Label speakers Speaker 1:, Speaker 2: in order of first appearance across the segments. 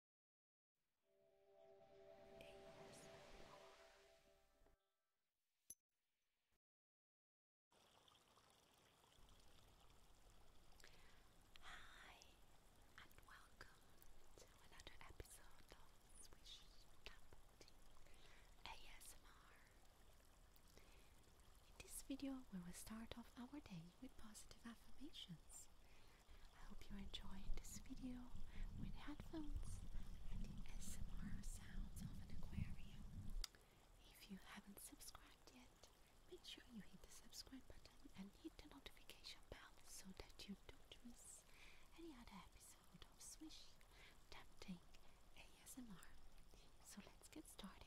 Speaker 1: Hi, and welcome to another episode of Swish Tapoti ASMR. In this video, we will start off our day with positive affirmations. I hope you are enjoying this video with headphones and the SMR sounds of an aquarium. If you haven't subscribed yet, make sure you hit the subscribe button and hit the notification bell so that you don't miss any other episode of Swish Tempting ASMR. So let's get started.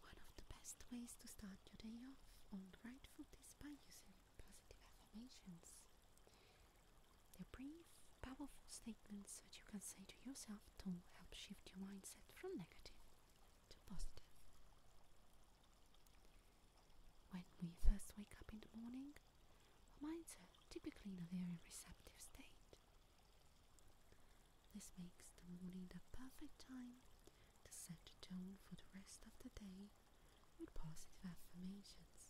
Speaker 1: One of the best ways to start your day off on right foot is by using positive affirmations. They're Powerful statements that you can say to yourself to help shift your mindset from negative to positive. When we first wake up in the morning, our minds are typically in a very receptive state. This makes the morning the perfect time to set the tone for the rest of the day with positive affirmations.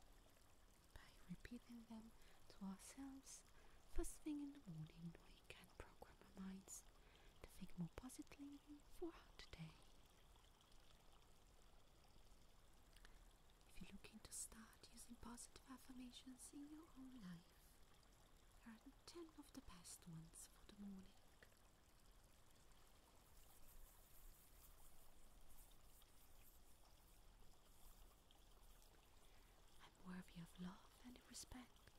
Speaker 1: By repeating them to ourselves First thing in the morning, we can program our minds to think more positively for today. If you're looking to start using positive affirmations in your own life, there are 10 of the best ones for the morning. I'm worthy of love and respect.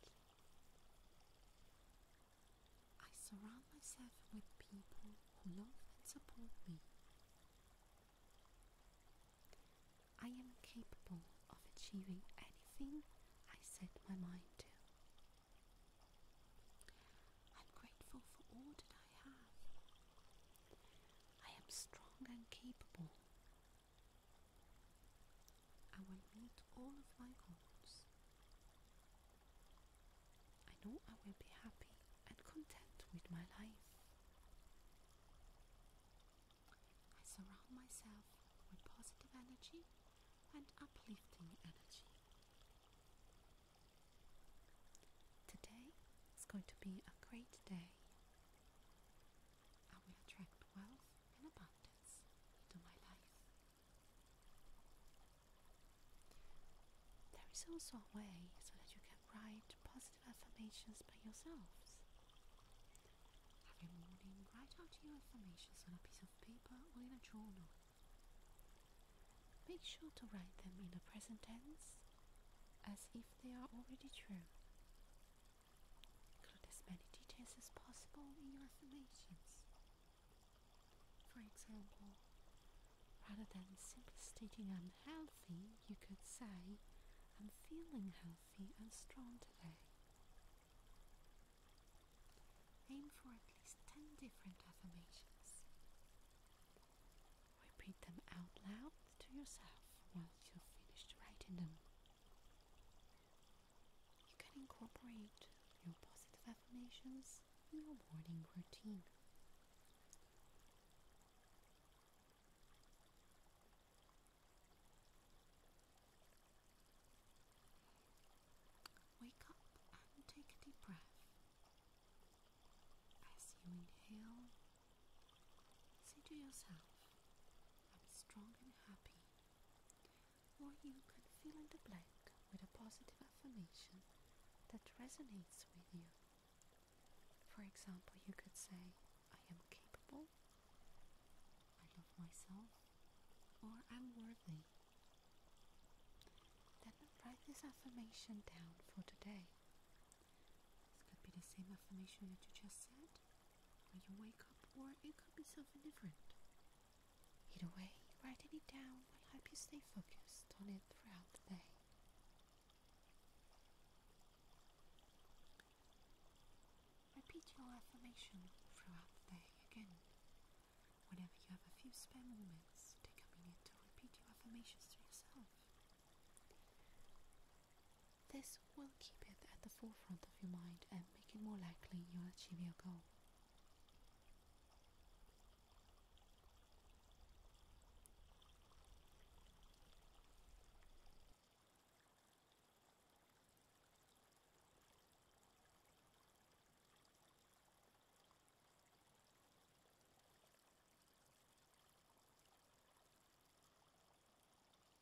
Speaker 1: I surround myself with people who love and support me. I am capable of achieving anything I set my mind to. I'm grateful for all that I have. I am strong and capable, I will meet all of my goals. I know I will be happy and content with my life. I surround myself with positive energy and uplifting energy. Today is going to be a great day. I will attract wealth and abundance into my life. There is also a way so that you can write positive affirmations by yourselves. Every morning, write out your affirmations on a piece of paper or in a journal. Make sure to write them in the present tense as if they are already true. Include as many details as possible in your affirmations. For example, rather than simply stating I'm healthy, you could say, I'm feeling healthy and strong today. Aim for at least 10 different affirmations. Repeat them out loud to yourself once you've finished writing them. You can incorporate your positive affirmations in your morning routine. Wake up and take a deep breath. As you inhale Say to yourself, I'm strong and happy. Or you can fill in the blank with a positive affirmation that resonates with you. For example, you could say, I am capable, I love myself, or I'm worthy. Then write this affirmation down for today this could be the same affirmation that you just said when you wake up, or it could be something different. Either way, writing it down will help you stay focused on it throughout the day. Repeat your affirmation throughout the day again. Whenever you have a few spare moments, take a minute to repeat your affirmations to yourself. This will keep it at the forefront of your mind and make it more likely you'll achieve your goal.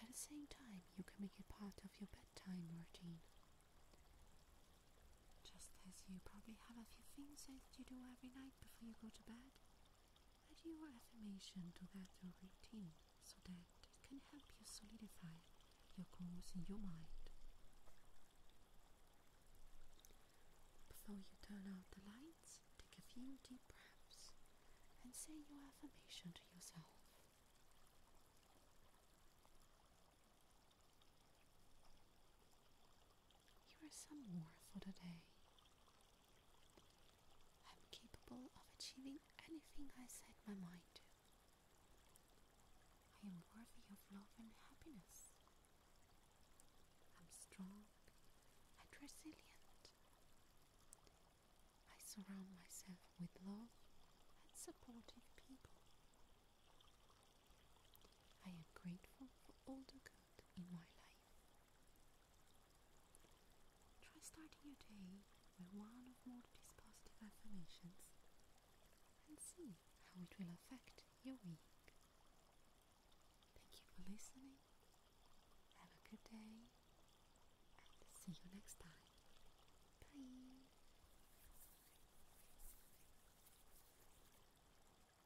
Speaker 1: At the same time, you can make it part of your bedtime routine. Just as you probably have a few things that you do every night before you go to bed, add your affirmation to that routine so that it can help you solidify your goals in your mind. Before you turn out the lights, take a few deep breaths and say your affirmation to yourself. You are more for the day. I am capable of achieving anything I set my mind to. I am worthy of love and happiness. I am strong and resilient. I surround myself with love and supportive people. I am grateful for all the good in my life. Try starting your day with one or more positive affirmations and see how it will affect your week. Thank you for listening. Have a good day and see you next time. Bye.